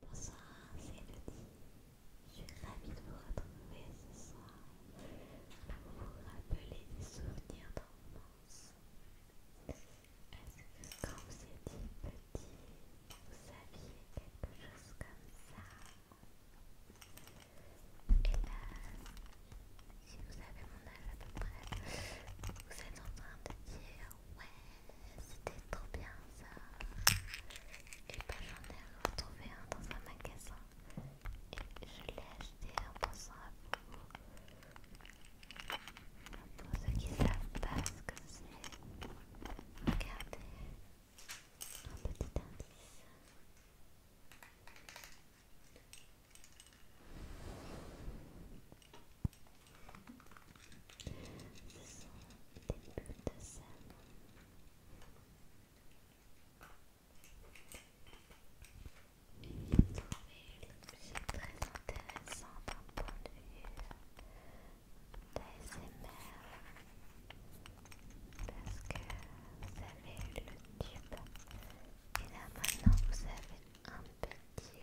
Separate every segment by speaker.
Speaker 1: Bonsoir, c'est petit. Je suis ravie de vous retrouver ce soir pour vous rappeler des souvenirs d'enfance. Est-ce que quand vous étiez petit, vous saviez quelque chose comme ça Et là, si vous avez mon âge à peu près, vous êtes en train de dire ouais. C'était trop bien ça. Et ben j'en ai retrouvé un dans un magasin. Et je l'ai acheté en pensant à vous. Pour ceux qui savent pas ce que c'est, regardez un petit indice sont des de très intéressant d'un point de vue d'ASMR parce que vous avez le tube et là maintenant vous avez un petit jeu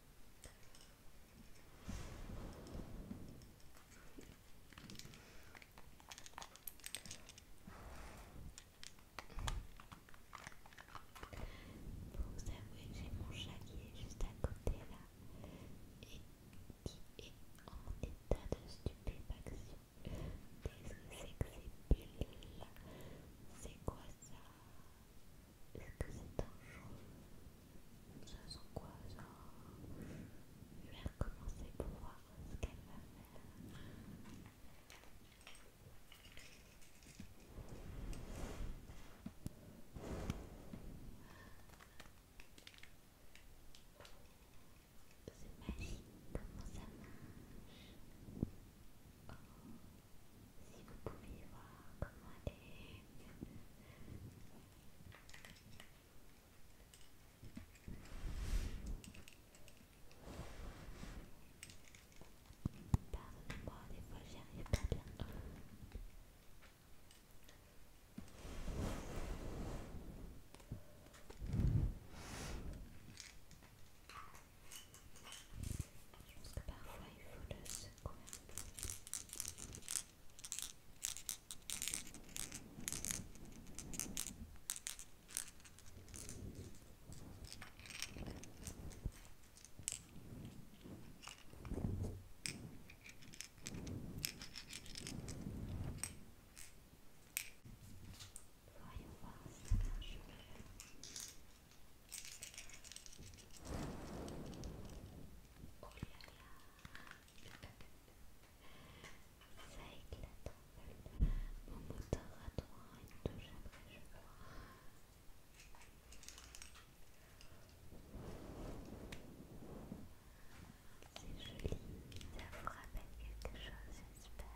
Speaker 1: Vous vous que j'ai mon chat qui est juste à côté là et qui est en état de stupéfaction. Qu'est-ce que c'est que ces C'est quoi ça est-ce que c'est dangereux Ça sent quoi ça Je vais recommencer pour voir ce qu'elle va faire. C'est magique, comment ça marche? Oh si vous pouviez voir comment elle est. Pardonnez-moi, des fois j'y arrive pas bien. Je pense que parfois il faut le secouer un peu. Voyons voir si ça marche mieux. Oh là là Ça éclate Mon moteur à droite une touche après je C'est joli, ça vous rappelle quelque chose j'espère.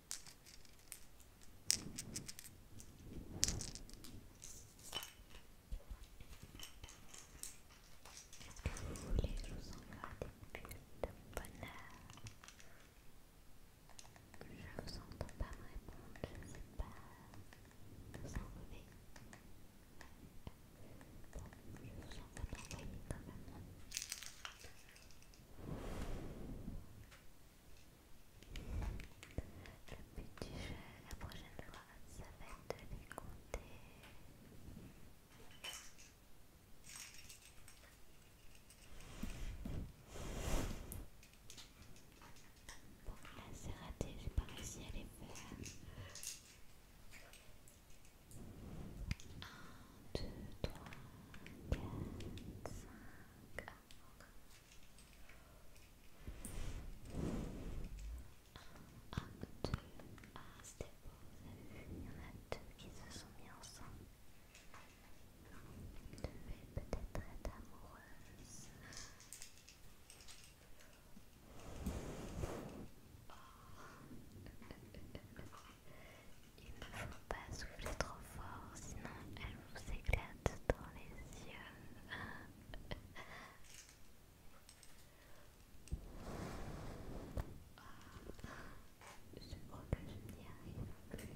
Speaker 1: Est-ce que Vous voulez que je vous envoie des bulles de bonheur Je ne vous entends pas me répondre, je ne sais pas vous enlever. Bon, je vous envoie l'envoyer quand même. Le but jeu la prochaine fois, ça va être de les compter. Bon, là c'est raté, j'ai pas réussi à les faire. Un, 2, 3, 4, ah c'était
Speaker 2: il y en a deux qui se sont mis ensemble. Vous peut-être être amoureuse. Il ne faut pas souffler trop fort, sinon elle vous éclate dans les yeux. Ah, je crois que je n'y arrive plus.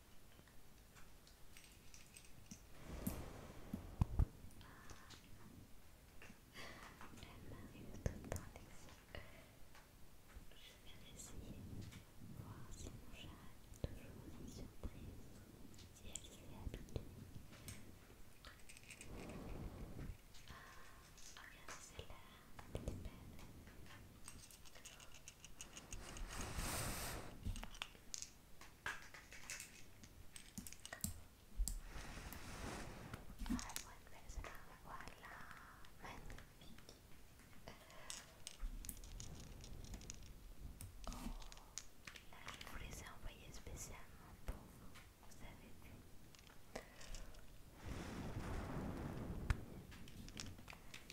Speaker 3: elle m'arrive tout le temps des yeux. Je vais essayer de voir si mon chat a toujours une surprise, si elle s'y est habituée. Ah, regarde celle-là, elle est belle. Voilà, magnifique. Oh, là je vous les ai envoyés spécialement pour vous, vous avez vu.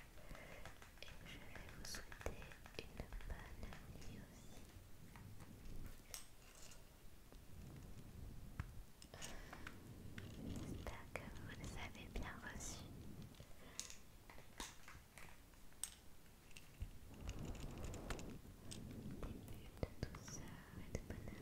Speaker 3: et je vais vous souhaiter une bonne nuit aussi. J'espère que vous les avez bien reçus. Des de douceur et de bonheur.